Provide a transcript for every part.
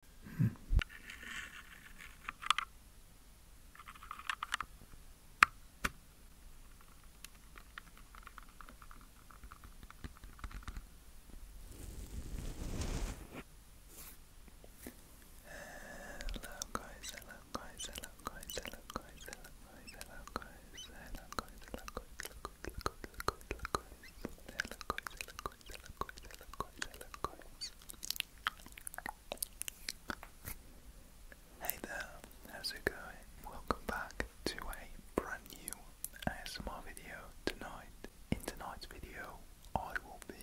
Hello guys, hello guys, hello guys, hello guys, hello guys, hello guys, hello guys, hello guys, hello guys, hello guys, hello guys, hello guys, Hey there, how's it going? Welcome back to a brand new ASMR video tonight. In tonight's video, I will be.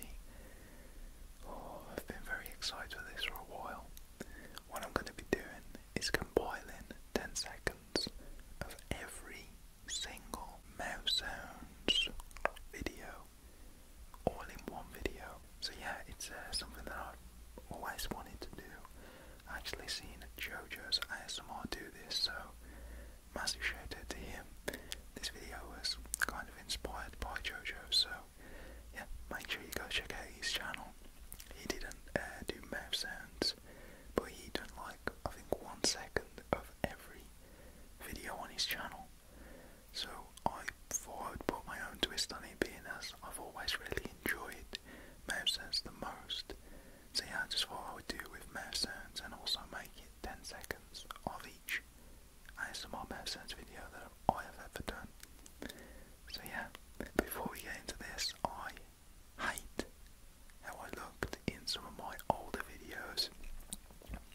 Oh, I've been very excited for this for a while. What I'm going to be doing is compiling 10 seconds of every single mouse sounds video all in one video. So yeah, it's uh, something that I've always wanted to do. I actually seen JoJo's ASMR do this, so massive shout out to him. This video was kind of inspired by JoJo, so yeah, make sure you go check out his channel. He didn't uh, do mouse sounds, but he done like I think one second of every video on his channel. So I thought I would put my own twist on it, being I've always really enjoyed mouse sounds the most. So yeah, I just thought I would do with mouse sounds and also make it 10 seconds of each ASMR mouse sounds video that I have ever done. So yeah, before we get into this, I hate how I looked in some of my older videos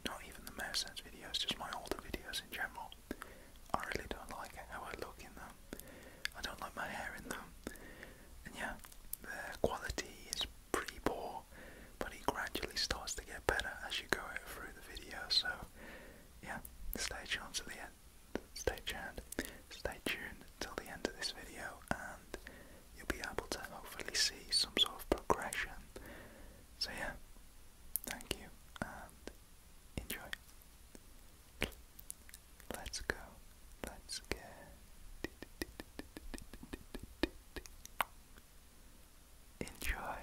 not even the Mayor Sense videos, just my older videos in general. I really don't like how I look in them. I don't like my hair in them. And yeah, the quality is pretty poor, but it gradually starts to get better as you go through the video. So yeah, stay tuned to the end. Stay tuned. Stay tuned till the end of this video, and you'll be able to hopefully see some sort of progression. So, yeah, thank you and enjoy. Let's go. Let's get. Enjoy.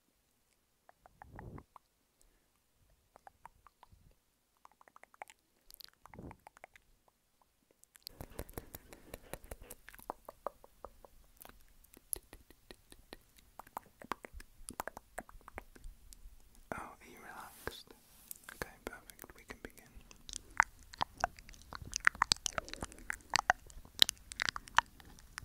Oh, are you relaxed? Okay, perfect. We can begin.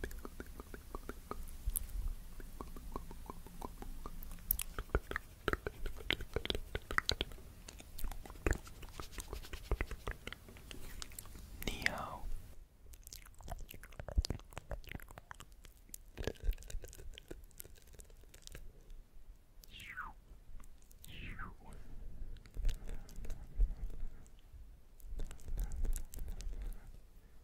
Pickle, pickle, Neo.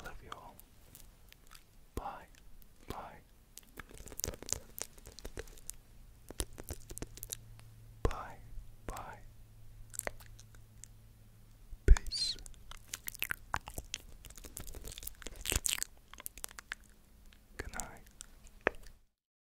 I love you all. Bye. Bye. Bye. Bye. Peace. Good night.